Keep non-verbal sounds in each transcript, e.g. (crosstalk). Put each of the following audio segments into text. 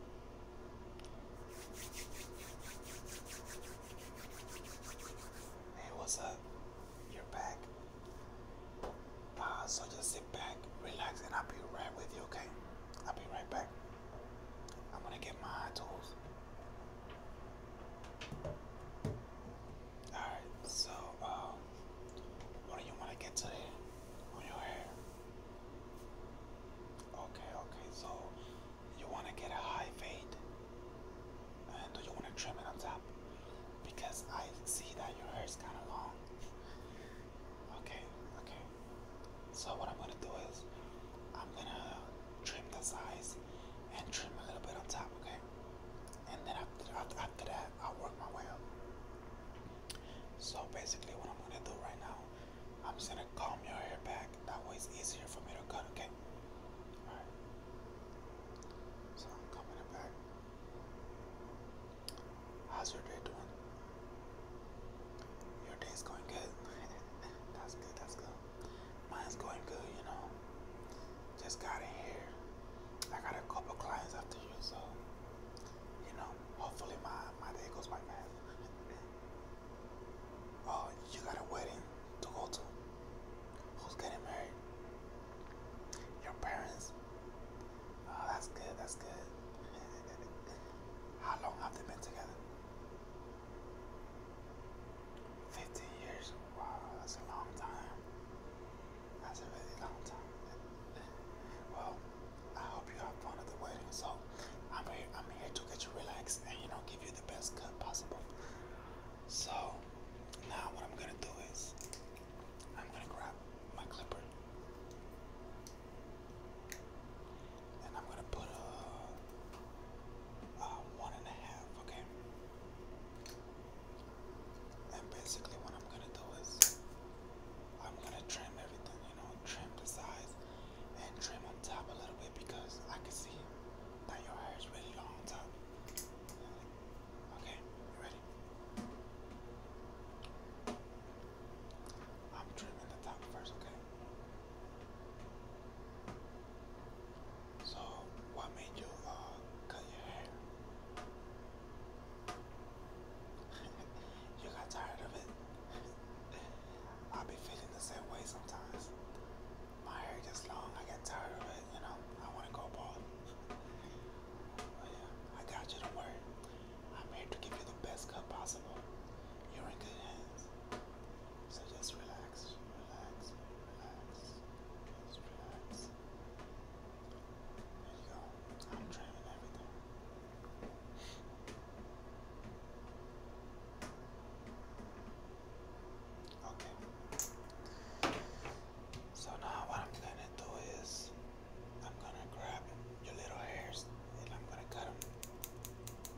Hey, what's up? You're back. Uh, so just sit back, relax, and I'll be right with you, okay? I'll be right back. I'm gonna get my tools. Alright, so, um, what do you want to get today on your hair? Okay, okay, so you want to get a high fade and do you want to trim it on top? Because I see that your hair is kind of long. Okay, okay. So what I'm going to do is I'm going to trim the sides and trim a little bit on top, okay? And then after, after, that, I'll work my way up. So basically what I'm gonna do right now, I'm just gonna comb your hair back. That way it's easier for me to cut, okay? Alright. So i it back. How's your day doing? Your day's going good. (laughs) that's good, that's good. Mine's going good, you know. Just got in here. I got a couple clients after you, so you know, hopefully my my day goes by fast. oh, you got a wedding to go to. Who's getting married? Your parents. Oh, that's good, that's good. (laughs) How long have they been together? 15 years. Wow, that's a long time. That's a really long time. well, I hope you have fun at the wedding. So I'm here. I'm here to get you relaxed and you know give you the best cut possible. So now what I'm gonna do is I'm gonna grab my clipper and I'm gonna put a, a one and a half. Okay. And basically, what I'm gonna do is I'm gonna trim everything, you know, trim the size and trim on top a little bit because I can see that your hair is really long on top. Okay, ready? I'm trimming the top first, okay? So, what made you uh, cut your hair? you got tired of it. i be feeling the same way sometimes. My hair gets long, I get tired of it, you know. I want to go bald. But yeah, I got you, do worry. I'm here to give you the best cut possible. You're in good hands. So just relax, relax, relax, just relax. I'm trimming everything. Okay. So now what I'm gonna do is I'm gonna grab your little hairs and I'm gonna cut them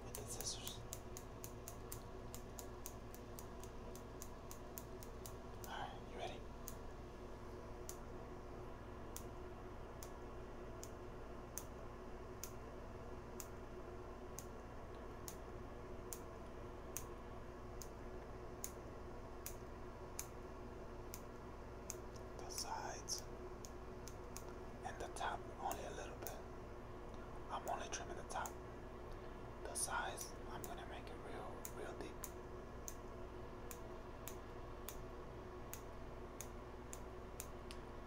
with the scissors. All right, you ready? The sides and the top only a little bit. I'm only trimming the top. The sides, I'm gonna make it real, real deep.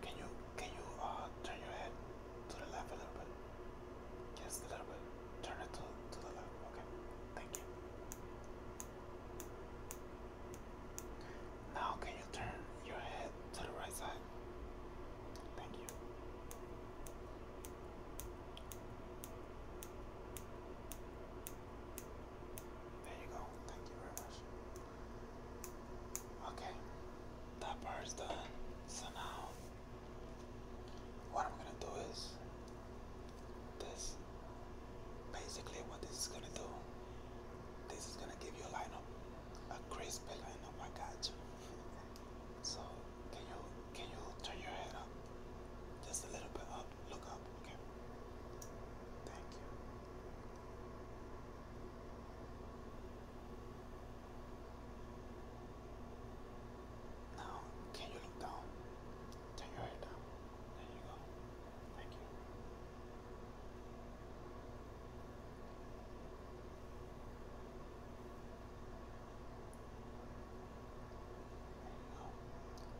Can you can you uh turn your head to the left a little bit? Yes, a little bit. Turn it to to the left. Okay. Thank you. Now can you turn your head to the right side? Thank you. There you go. Thank you very much. Okay, that part's done. So now, what I'm gonna do is this. Basically, what this is gonna do, this is gonna give you a lineup, a crisp lineup. I got you. (laughs) So can you can you turn your head up? Just a little bit up. Look up, okay. Thank you. Now can you look down? Turn your head down. There you go. Thank you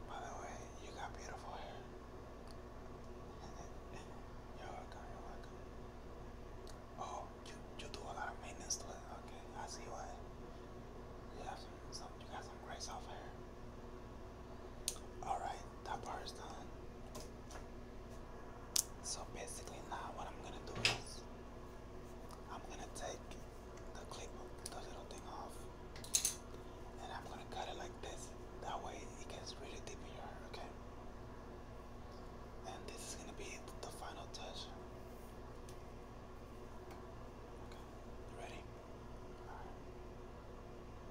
by the way, you got beautiful hair. (laughs) you're welcome, you're welcome. Oh, you, you do a lot of maintenance to it. Okay, I see why. You have you got some gray soft hair. Alright, that part is done. So basically now what I'm gonna do is I'm gonna take the clip, the little thing off, and I'm gonna cut it like this. That way it gets really deep in your hair, okay? And this is gonna be the final touch. Okay, ready?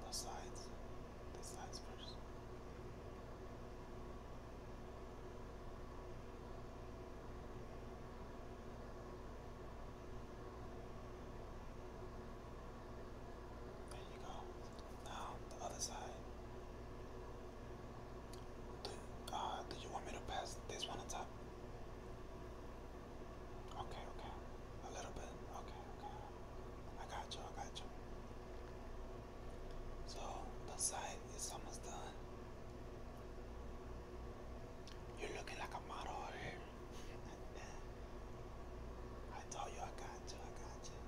The sides. The sides first. There you go. Now the other side. Do uh do you want me to pass this one on top? Okay, okay. A little bit. Okay, okay. I got you, I got you. So the side is almost done. You're looking like a model over here. (laughs) I told you I got you, I got you.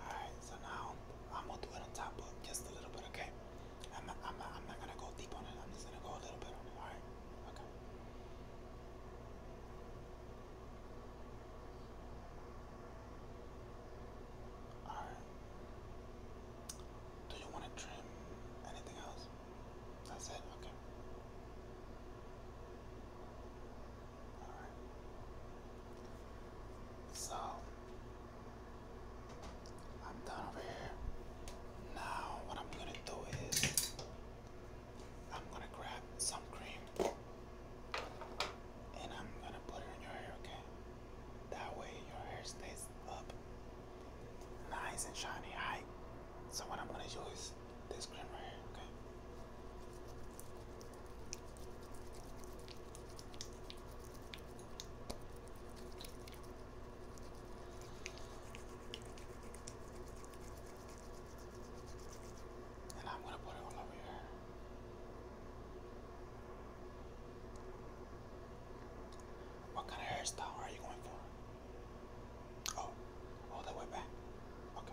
Alright, so now I'm gonna do it on top of just a little bit, okay? I'm I'm I'm not gonna go deep on it, I'm just gonna go a little bit on it, alright? Okay. Alright. Do you want to trim anything else? That's it? Okay. Alright. So, I'm done over here. Now, what I'm gonna do is, I'm gonna grab some cream and I'm gonna put it in your hair, okay? That way your hair stays up nice and shiny high. So what I'm gonna use this cream okay? And I'm gonna put it all over your hair. What kind of hairstyle are you going for? Oh, all the way back. Okay.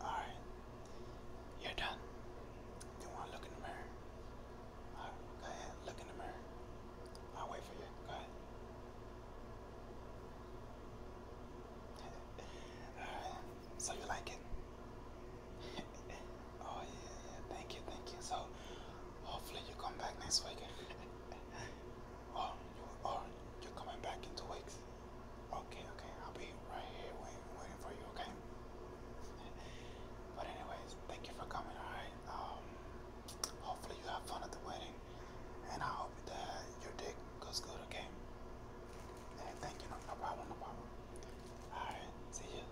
Alright, you're done. You want to look in the mirror? Alright, go ahead, look in the mirror. I'll wait for you. Go ahead. (laughs) Alright, so you like it? (laughs) oh, yeah, yeah, thank you, thank you. So, Hopefully you come back next week. (laughs) or you are coming back in two weeks. Okay, okay, I'll be right here waiting, for you, okay? (laughs) but anyways, thank you for coming, alright? Um, hopefully you have fun at the wedding and I hope that your dick goes good, okay? Hey, thank you, no problem, no problem. Alright, see you.